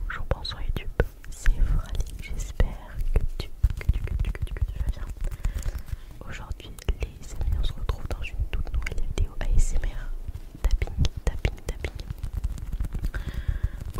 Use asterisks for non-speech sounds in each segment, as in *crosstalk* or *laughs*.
Bonjour, bonsoir YouTube, c'est Frali, j'espère que tu, que tu vas bien. Aujourd'hui, les amis, on se retrouve dans une toute nouvelle vidéo ASMR tapping, tapping, tapping.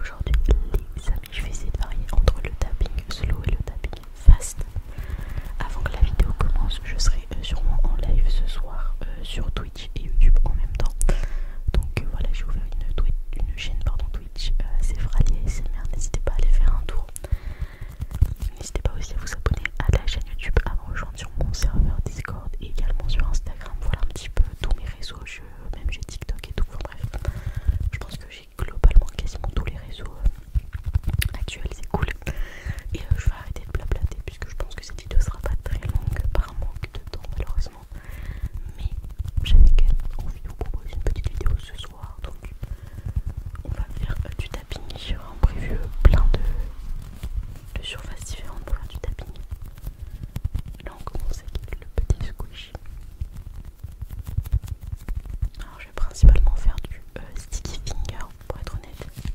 Aujourd'hui, les amis, je vais essayer de varier entre le tapping slow et le tapping fast. Avant que la vidéo commence, je serai euh, sûrement en live ce soir euh, sur Twitch et YouTube en même temps. Donc euh, voilà, j'ai ouvert une, Twitch chaîne pardon, Twitch, c'est Frali ASMR. N'hésitez pas à aller faire un tour. N'hésitez pas aussi à vous abonner à la chaîne YouTube, à me rejoindre sur mon serveur Discord et également sur Instagram. Voilà un petit peu tous mes réseaux, je, même j'ai TikTok et tout. bref, je pense que j'ai globalement quasiment tous les réseaux actuels, c'est cool. Et je vais arrêter de blablater puisque je pense que cette vidéo sera pas très longue par manque de temps malheureusement mais j'avais quand même envie de vous proposer une petite vidéo ce soir donc on va faire euh, du tapping en prévu plein de, surfaces différentes pour faire du tapping là on commence avec le petit squish alors je vais principalement faire du euh, sticky finger pour être honnête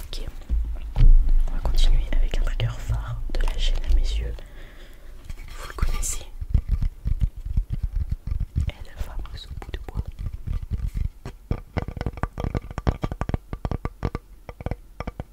Ok, on va continuer avec un dragueur phare de la chaîne à mes yeux. Vous le connaissez Elle la fameuse bout de bois.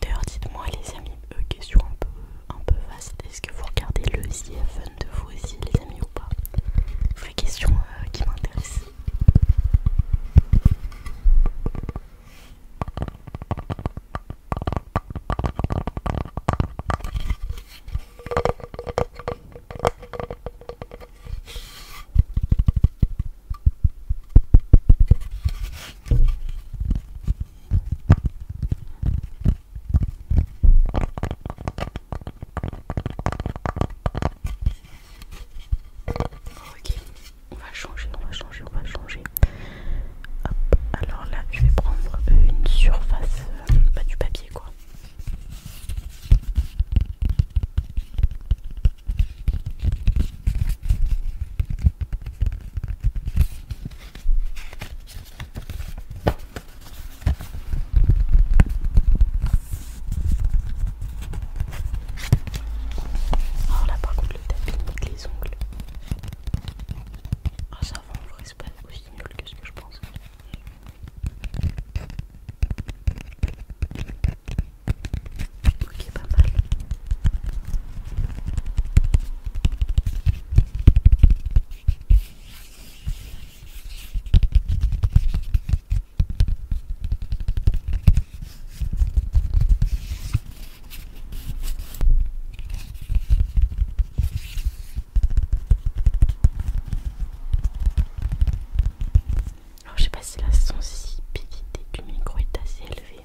D'ailleurs dites-moi les amis, questions euh, question un peu, un peu vaste, est-ce que vous regardez le The de vous aussi, les amis, ou pas Vraie question euh, qui m'intéresse. Ok, on va changer, on va changer, on va changer. alors là, je vais prendre une surface pas euh, bah, du papier quoi. Oh là par contre le les ongles. Ah ça va en vrai pas aussi nul que ce que je pense. Ok pas mal. Alors je sais pas si la sensibilité du micro est assez élevée.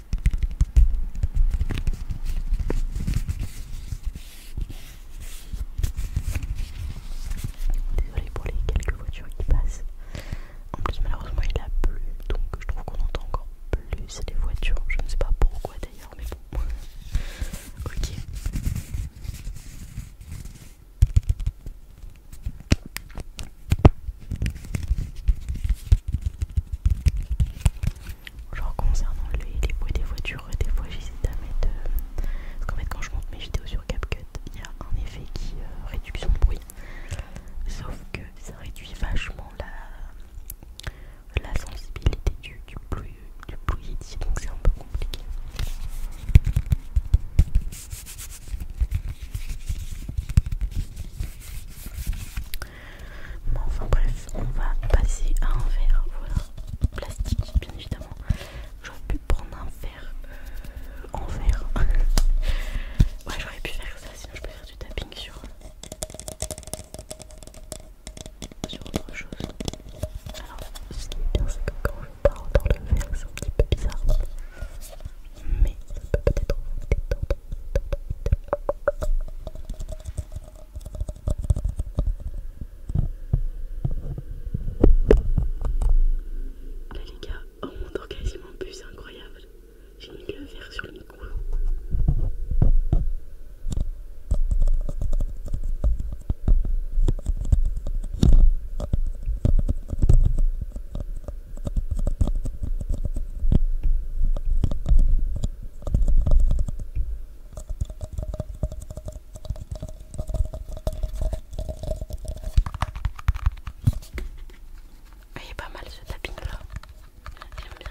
Désolé pour les quelques voitures qui passent. En plus, malheureusement, il a plu, donc je trouve qu'on entend encore plus les voitures. Je ne sais pas pourquoi d'ailleurs, mais bon. *laughs* ok. Genre concernant les, bruits des voitures, des fois j'hésite à mettre... Euh, parce qu'en fait quand je monte mes vidéos sur CapCut, il y a un effet qui euh, réduit réduction bruit. Sauf que ça réduit vachement la, sensibilité du, du bruit ici, donc c'est un peu compliqué. Bon, enfin bref, on va passer à un verre voilà, plastique, bien évidemment. J'aurais pu prendre un verre euh, en verre. *laughs* ouais, j'aurais pu faire ça, sinon je peux faire du tapping sur, sur autre chose. Alors, ce qui est bien, c'est que quand je parle dans le verre, c'est un petit peu bizarre. Mais ça peut peut-être vous détendre. Là les gars, oh, on entend quasiment plus, c'est incroyable. J'ai mis le verre sur le cou. Ah, il est pas mal ce tapping là, j'aime bien.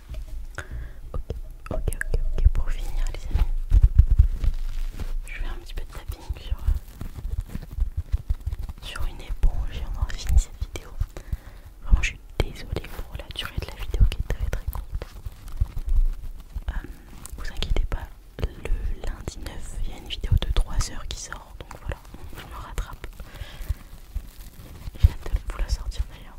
Ok, ok, ok, ok. Pour finir, les amis, je fais un petit peu de tapping sur, une éponge et on aura fini cette vidéo. Vraiment, je suis désolée pour la durée de la vidéo qui est très très courte. Euh, vous inquiétez pas, le lundi 9, il y a une vidéo de 3 heures qui sort, donc voilà, je me rattrape. J'ai hâte de vous la sortir d'ailleurs.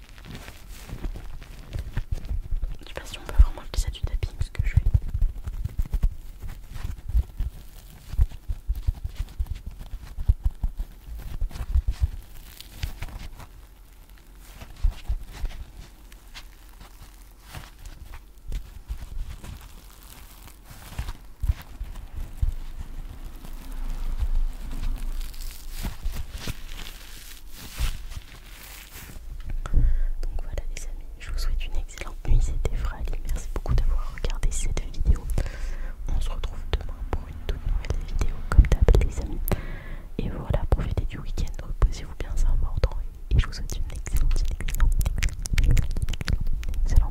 Je sais pas si on peut vraiment utiliser du tapis ce que je fais. Donc voilà les amis, je vous souhaite une excellente nuit, c'était Frali, merci beaucoup d'avoir regardé cette vidéo. On se retrouve demain pour une toute nouvelle vidéo comme d'hab les amis. Et voilà, profitez du week-end, reposez-vous bien, sans important. Et je vous souhaite une excellente, nuit. salut.